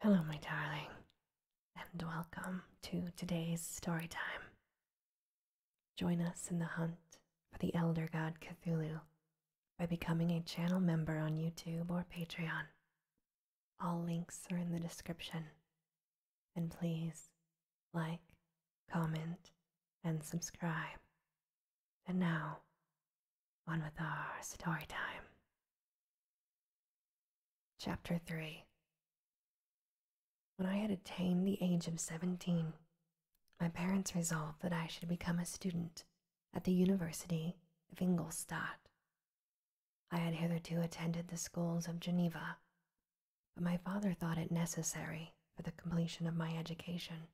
Hello, my darling, and welcome to today's story time. Join us in the hunt for the Elder God Cthulhu by becoming a channel member on YouTube or Patreon. All links are in the description. And please like, comment, and subscribe. And now, on with our story time. Chapter 3 When I had attained the age of 17, my parents resolved that I should become a student at the University of Ingolstadt. I had hitherto attended the schools of Geneva, but my father thought it necessary for the completion of my education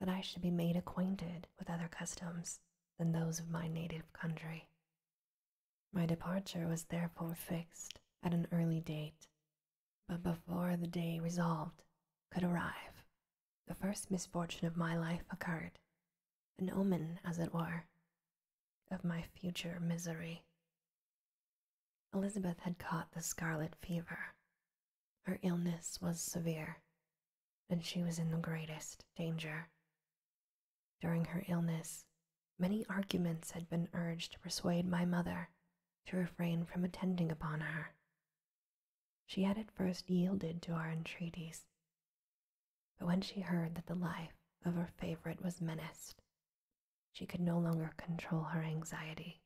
that I should be made acquainted with other customs than those of my native country. My departure was therefore fixed at an early date, but before the day resolved could arrive, the first misfortune of my life occurred, an omen, as it were, of my future misery. Elizabeth had caught the scarlet fever. Her illness was severe, and she was in the greatest danger. During her illness, many arguments had been urged to persuade my mother to refrain from attending upon her. She had at first yielded to our entreaties, but when she heard that the life of her favorite was menaced, she could no longer control her anxiety.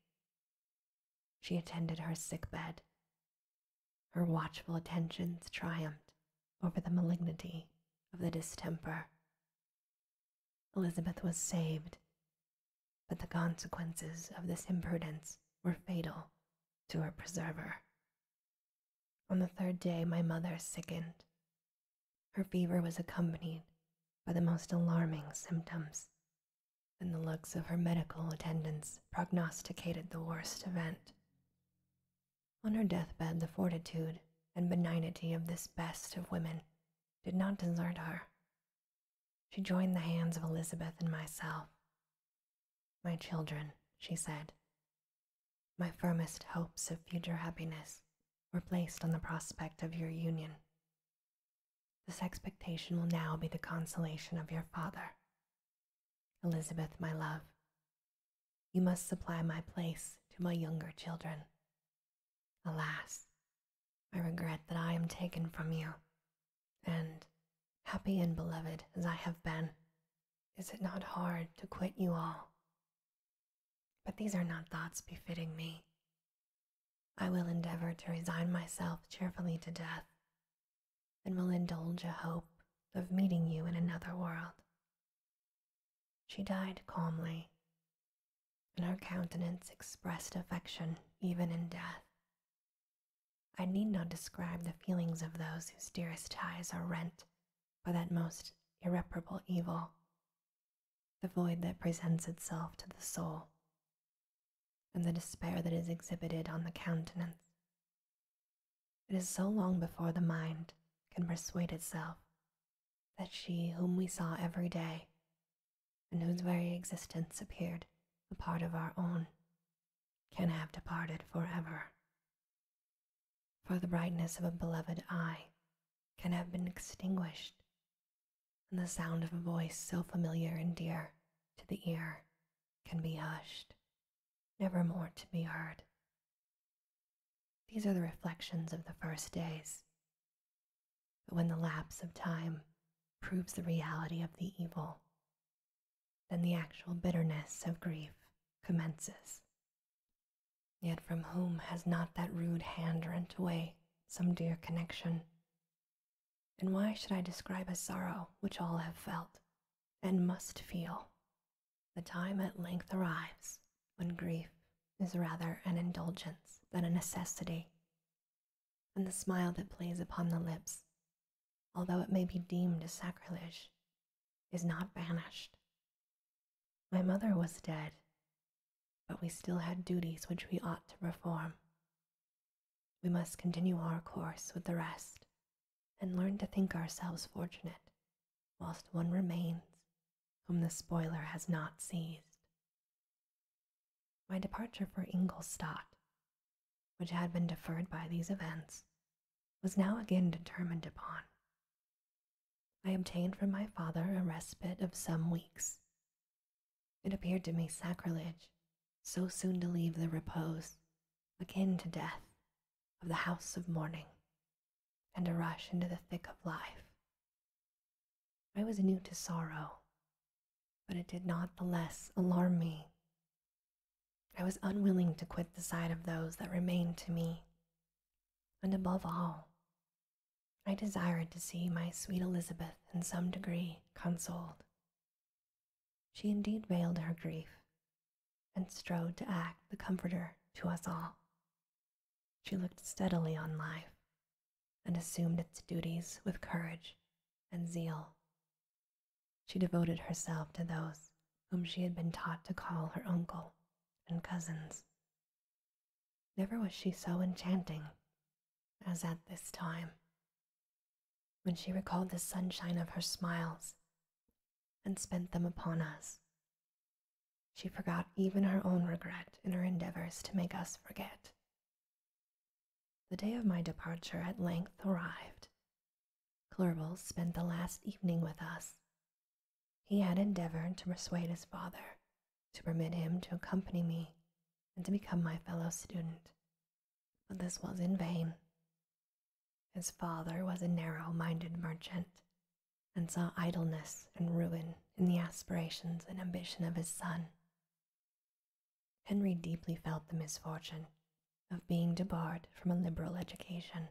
She attended her sick bed her watchful attentions triumphed over the malignity of the distemper. Elizabeth was saved, but the consequences of this imprudence were fatal to her preserver. On the third day, my mother sickened. Her fever was accompanied by the most alarming symptoms, and the looks of her medical attendants prognosticated the worst event. On her deathbed, the fortitude and benignity of this best of women did not desert her. She joined the hands of Elizabeth and myself. My children, she said, my firmest hopes of future happiness were placed on the prospect of your union. This expectation will now be the consolation of your father, Elizabeth, my love, you must supply my place to my younger children. Alas, I regret that I am taken from you, and happy and beloved as I have been, is it not hard to quit you all? But these are not thoughts befitting me. I will endeavor to resign myself cheerfully to death and will indulge a hope of meeting you in another world. She died calmly, and her countenance expressed affection even in death. I need not describe the feelings of those whose dearest ties are rent by that most irreparable evil, the void that presents itself to the soul, and the despair that is exhibited on the countenance it is so long before the mind can persuade itself that she whom we saw every day, and whose very existence appeared a part of our own, can have departed for ever. For the brightness of a beloved eye can have been extinguished, and the sound of a voice so familiar and dear to the ear can be hushed never more to be heard. These are the reflections of the first days. But when the lapse of time proves the reality of the evil, then the actual bitterness of grief commences. Yet from whom has not that rude hand rent away some dear connection? And why should I describe a sorrow which all have felt and must feel the time at length arrives when grief is rather an indulgence than a necessity, and the smile that plays upon the lips, although it may be deemed a sacrilege, is not banished. My mother was dead, but we still had duties which we ought to perform. We must continue our course with the rest and learn to think ourselves fortunate, whilst one remains whom the spoiler has not seized. My departure for Ingolstadt, which had been deferred by these events, was now again determined upon. I obtained from my father a respite of some weeks. It appeared to me sacrilege so soon to leave the repose, akin to death, of the house of mourning and a rush into the thick of life. I was new to sorrow, but it did not the less alarm me. I was unwilling to quit the side of those that remained to me, and above all, I desired to see my sweet Elizabeth in some degree consoled. She indeed veiled her grief and strove to act the comforter to us all. She looked steadily on life and assumed its duties with courage and zeal. She devoted herself to those whom she had been taught to call her uncle and cousins. Never was she so enchanting as at this time. When she recalled the sunshine of her smiles and spent them upon us. She forgot even her own regret in her endeavors to make us forget. The day of my departure at length arrived. Clerval spent the last evening with us. He had endeavored to persuade his father to permit him to accompany me and to become my fellow student, but this was in vain. His father was a narrow minded merchant and saw idleness and ruin in the aspirations and ambition of his son. Henry deeply felt the misfortune of being debarred from a liberal education.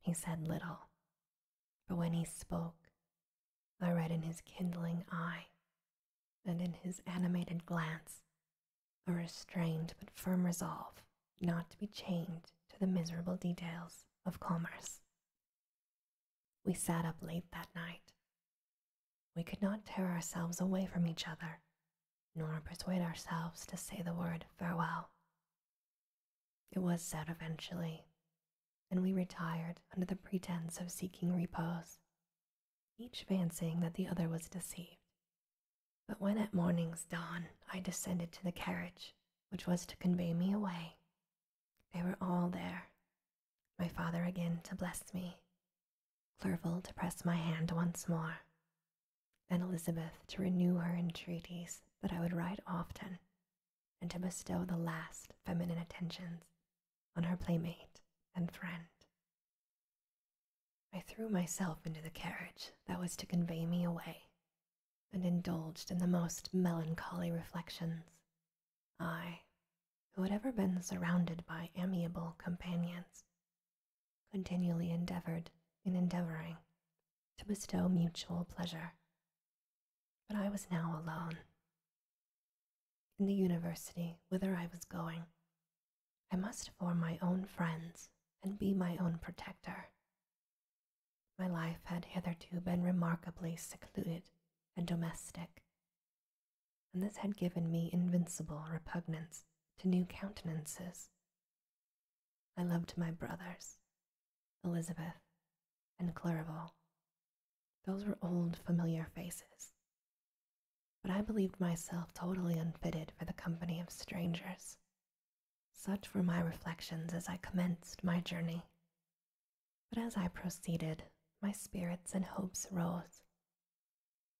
He said little, but when he spoke, I read in his kindling eye and in his animated glance a restrained but firm resolve not to be chained to the miserable details of commerce. We sat up late that night. We could not tear ourselves away from each other, nor persuade ourselves to say the word farewell. It was said eventually, and we retired under the pretense of seeking repose, each fancying that the other was deceived but when at morning's dawn I descended to the carriage, which was to convey me away, they were all there. My father again to bless me, Clerval to press my hand once more, and Elizabeth to renew her entreaties that I would write often, and to bestow the last feminine attentions on her playmate and friend. I threw myself into the carriage that was to convey me away, and indulged in the most melancholy reflections. I, who had ever been surrounded by amiable companions, continually endeavored in endeavoring to bestow mutual pleasure. But I was now alone. In the university whither I was going, I must form my own friends and be my own protector, my life had hitherto been remarkably secluded and domestic, and this had given me invincible repugnance to new countenances. I loved my brothers, Elizabeth and Clerval. Those were old, familiar faces. But I believed myself totally unfitted for the company of strangers, such were my reflections as I commenced my journey. But as I proceeded, my spirits and hopes rose.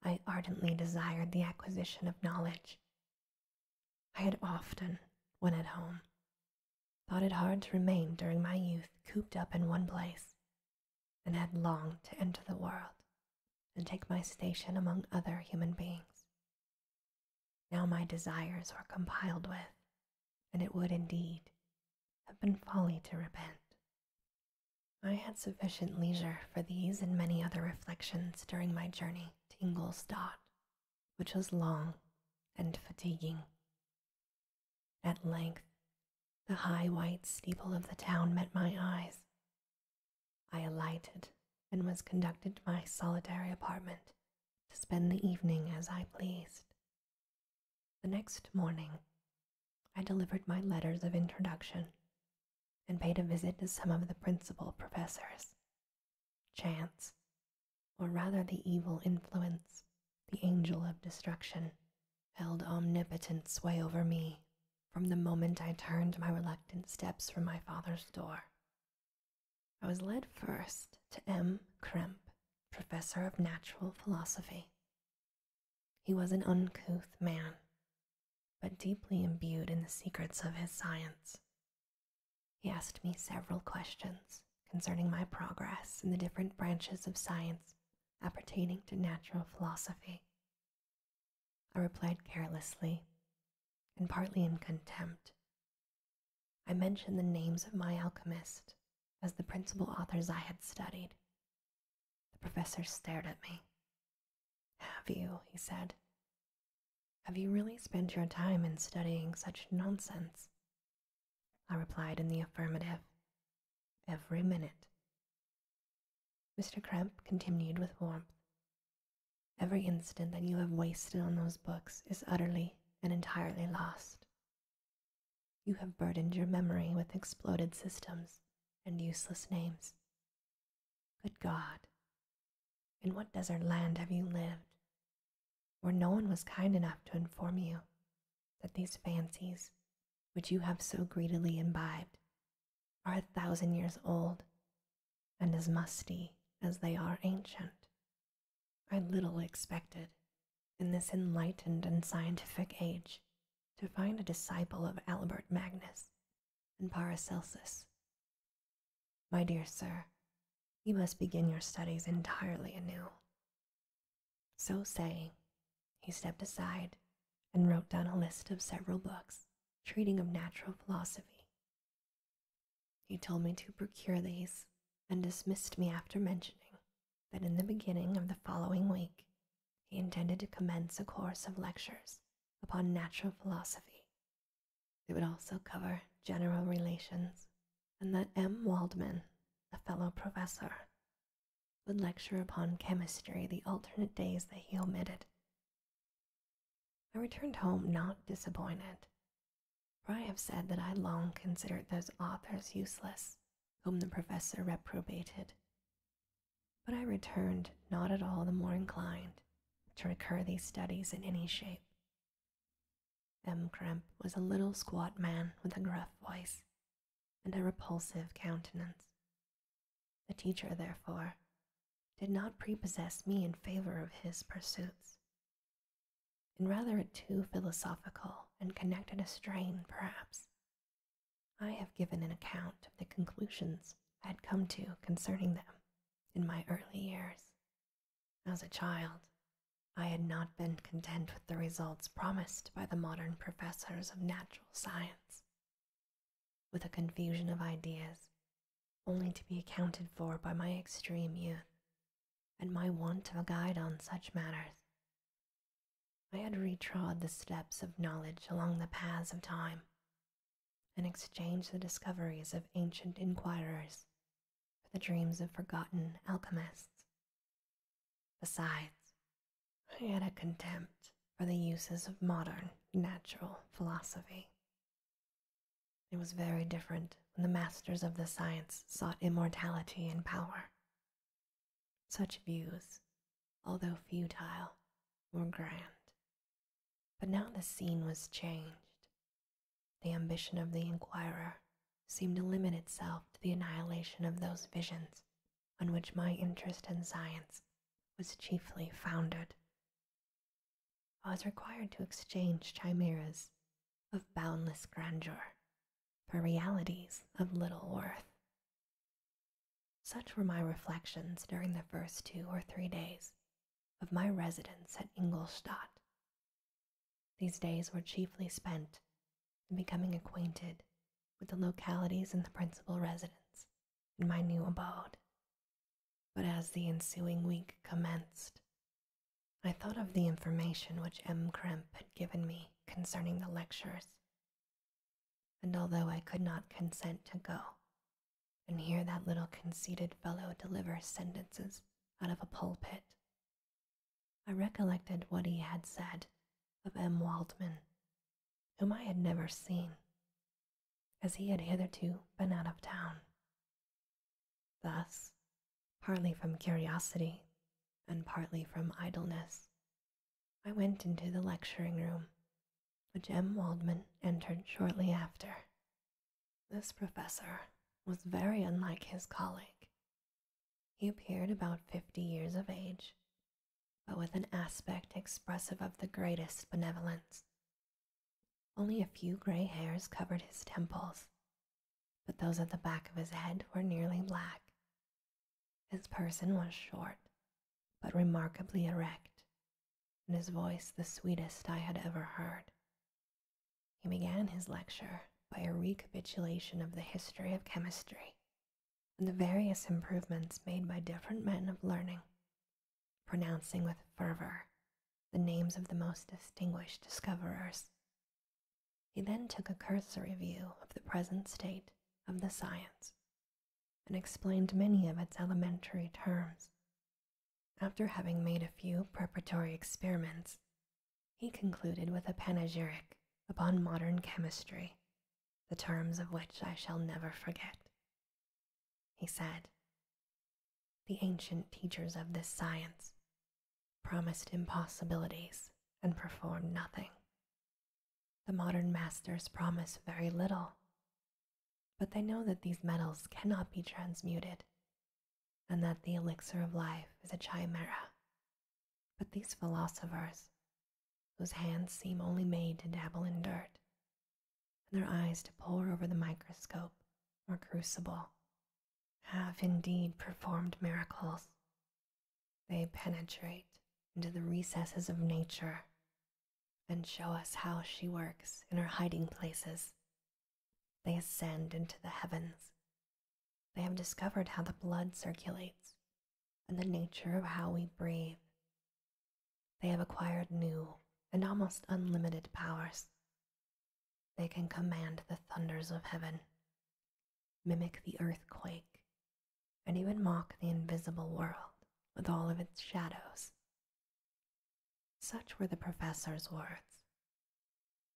I ardently desired the acquisition of knowledge. I had often, when at home, thought it hard to remain during my youth cooped up in one place, and had longed to enter the world and take my station among other human beings. Now my desires were complied with, and it would indeed have been folly to repent. I had sufficient leisure for these and many other reflections during my journey to Ingolstadt, which was long and fatiguing. At length, the high white steeple of the town met my eyes. I alighted and was conducted to my solitary apartment to spend the evening as I pleased. The next morning, I delivered my letters of introduction and paid a visit to some of the principal professors. Chance, or rather the evil influence, the angel of destruction, held omnipotent sway over me from the moment I turned my reluctant steps from my father's door. I was led first to M. Kremp, professor of natural philosophy. He was an uncouth man, but deeply imbued in the secrets of his science. He asked me several questions concerning my progress in the different branches of science appertaining to natural philosophy. I replied carelessly and partly in contempt I mentioned the names of my alchemist as the principal authors I had studied. The professor stared at me. Have you? he said. Have you really spent your time in studying such nonsense? I replied in the affirmative. Every minute. Mr. Kremp continued with warmth. Every instant that you have wasted on those books is utterly and entirely lost. You have burdened your memory with exploded systems and useless names. Good God, in what desert land have you lived where no one was kind enough to inform you that these fancies, which you have so greedily imbibed, are a thousand years old and as musty as they are ancient. I little expected, in this enlightened and scientific age, to find a disciple of Albert Magnus and Paracelsus. My dear sir, you must begin your studies entirely anew. So saying, he stepped aside and wrote down a list of several books treating of natural philosophy. He told me to procure these and dismissed me after mentioning that in the beginning of the following week he intended to commence a course of lectures upon natural philosophy. It would also cover general relations, and that M. Waldman, a fellow professor, would lecture upon chemistry the alternate days that he omitted. I returned home not disappointed, for I have said that I long considered those authors useless whom the professor reprobated. But I returned not at all the more inclined to recur to these studies in any shape. M. Kremp was a little squat man with a gruff voice and a repulsive countenance. The teacher, therefore, did not prepossess me in favor of his pursuits. In rather a too philosophical and connected a strain, perhaps. I have given an account of the conclusions I had come to concerning them in my early years. As a child, I had not been content with the results promised by the modern professors of natural science. With a confusion of ideas only to be accounted for by my extreme youth and my want of a guide on such matters. I had retrod the steps of knowledge along the paths of time, and exchanged the discoveries of ancient inquirers for the dreams of forgotten alchemists. Besides, I had a contempt for the uses of modern natural philosophy, it was very different when the masters of the science sought immortality and power. Such views, although futile, were grand. But now the scene was changed. The ambition of the inquirer seemed to limit itself to the annihilation of those visions on which my interest in science was chiefly founded. I was required to exchange chimeras of boundless grandeur for realities of little worth. Such were my reflections during the first two or three days of my residence at Ingolstadt. These days were chiefly spent in becoming acquainted with the localities and the principal residents in my new abode, but as the ensuing week commenced, I thought of the information which M. Kremp had given me concerning the lectures. And although I could not consent to go and hear that little conceited fellow deliver sentences out of a pulpit, I recollected what he had said of M. Waldmann, whom I had never seen, as he had hitherto been out of town thus, partly from curiosity and partly from idleness. I went into the lecturing room, which M. Waldman entered shortly after. This professor was very unlike his colleague. He appeared about fifty years of age, but with an aspect expressive of the greatest benevolence. Only a few gray hairs covered his temples, but those at the back of his head were nearly black. His person was short, but remarkably erect, and his voice the sweetest I had ever heard. He began his lecture by a recapitulation of the history of chemistry and the various improvements made by different men of learning, pronouncing with fervor the names of the most distinguished discoverers. He then took a cursory view of the present state of the science and explained many of its elementary terms. After having made a few preparatory experiments, he concluded with a panegyric upon modern chemistry, the terms of which I shall never forget. He said, the ancient teachers of this science, promised impossibilities and performed nothing. The modern masters promise very little, but they know that these metals cannot be transmuted and that the elixir of life is a chimera. But these philosophers, whose hands seem only made to dabble in dirt, and their eyes to pore over the microscope or crucible have indeed performed miracles. They penetrate into the recesses of nature and show us how she works in her hiding places. They ascend into the heavens. They have discovered how the blood circulates and the nature of how we breathe. They have acquired new and almost unlimited powers they can command the thunders of heaven, mimic the earthquake, and even mock the invisible world with all of its shadows. Such were the professor's words.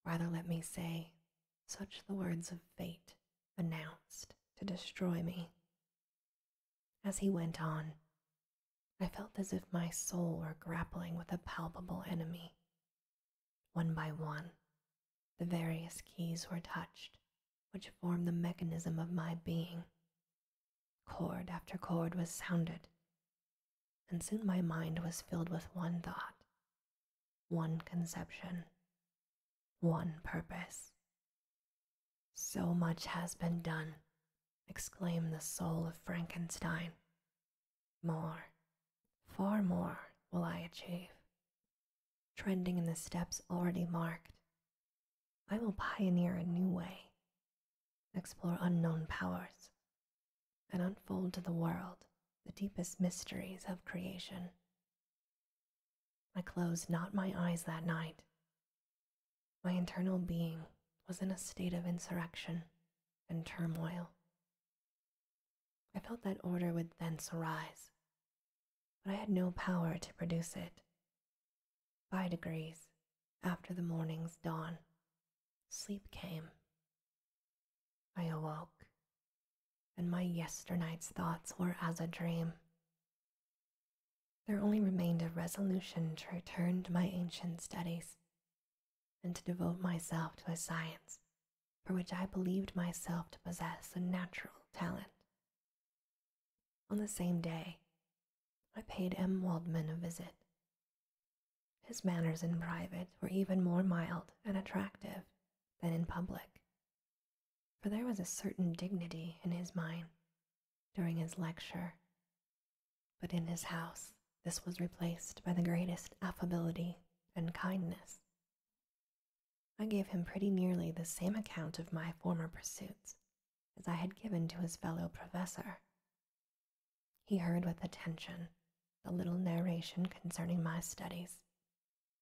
Rather, let me say, such the words of fate announced to destroy me. As he went on, I felt as if my soul were grappling with a palpable enemy one by one, the various keys were touched, which formed the mechanism of my being. Chord after chord was sounded, and soon my mind was filled with one thought, one conception, one purpose. So much has been done, exclaimed the soul of Frankenstein. More, far more will I achieve, trending in the steps already marked. I will pioneer a new way, explore unknown powers, and unfold to the world the deepest mysteries of creation. I closed not my eyes that night. My internal being was in a state of insurrection and turmoil I felt that order would thence arise, but I had no power to produce it. By degrees, after the morning's dawn, sleep came. I awoke, and my yesternight's thoughts were as a dream. There only remained a resolution to return to my ancient studies and to devote myself to a science for which I believed myself to possess a natural talent. On the same day, I paid M. Waldman a visit. His manners in private were even more mild and attractive than in public, for there was a certain dignity in his mind during his lecture but in his house, this was replaced by the greatest affability and kindness. I gave him pretty nearly the same account of my former pursuits as I had given to his fellow professor. He heard with attention the little narration concerning my studies,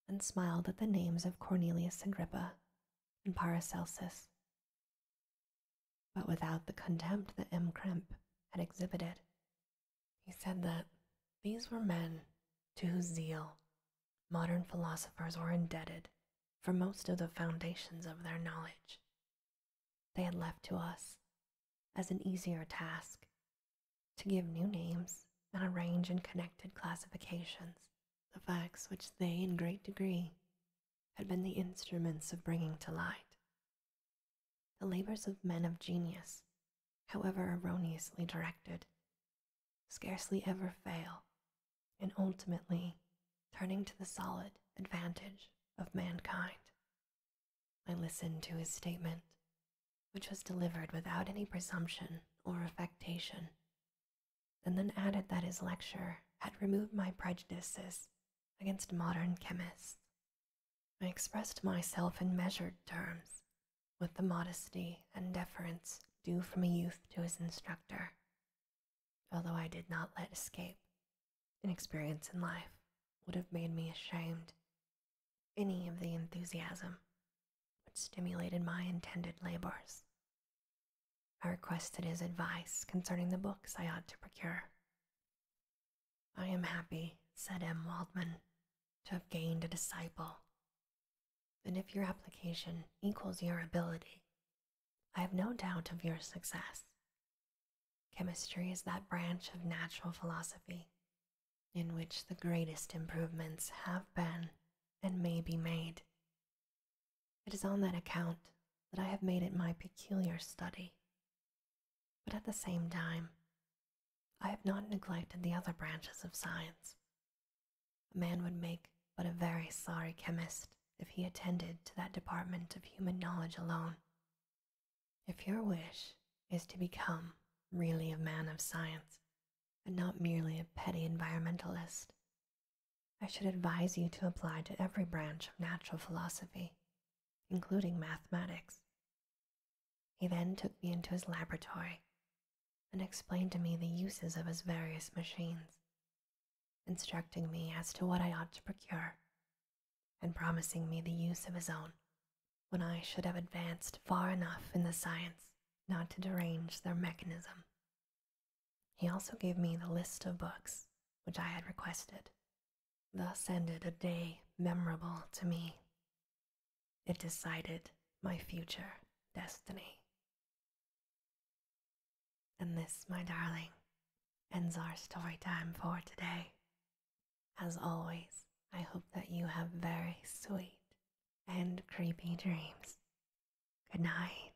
and smiled at the names of Cornelius Agrippa and Paracelsus, but without the contempt that M. Crimp had exhibited he said that these were men to whose zeal modern philosophers were indebted for most of the foundations of their knowledge. They had left to us, as an easier task, to give new names and arrange in connected classifications the facts which they, in great degree, had been the instruments of bringing to light the labors of men of genius, however erroneously directed, scarcely ever fail in ultimately turning to the solid advantage of mankind. I listened to his statement, which was delivered without any presumption or affectation, and then added that his lecture had removed my prejudices against modern chemists I expressed myself in measured terms, with the modesty and deference due from a youth to his instructor, although I did not let escape. Inexperience in life would have made me ashamed. Any of the enthusiasm which stimulated my intended labors. I requested his advice concerning the books I ought to procure. I am happy, said M. Waldman, to have gained a disciple. And if your application equals your ability, I have no doubt of your success. Chemistry is that branch of natural philosophy in which the greatest improvements have been and may be made. It is on that account that I have made it my peculiar study but at the same time, I have not neglected the other branches of science. A man would make but a very sorry chemist if he attended to that department of human knowledge alone. If your wish is to become really a man of science and not merely a petty environmentalist, I should advise you to apply to every branch of natural philosophy, including mathematics, he then took me into his laboratory and explained to me the uses of his various machines, instructing me as to what I ought to procure, and promising me the use of his own when I should have advanced far enough in the science not to derange their mechanism. He also gave me the list of books which I had requested Thus ended a day memorable to me. It decided my future destiny. And this, my darling, ends our story time for today. As always, I hope that you have very sweet and creepy dreams. Good night.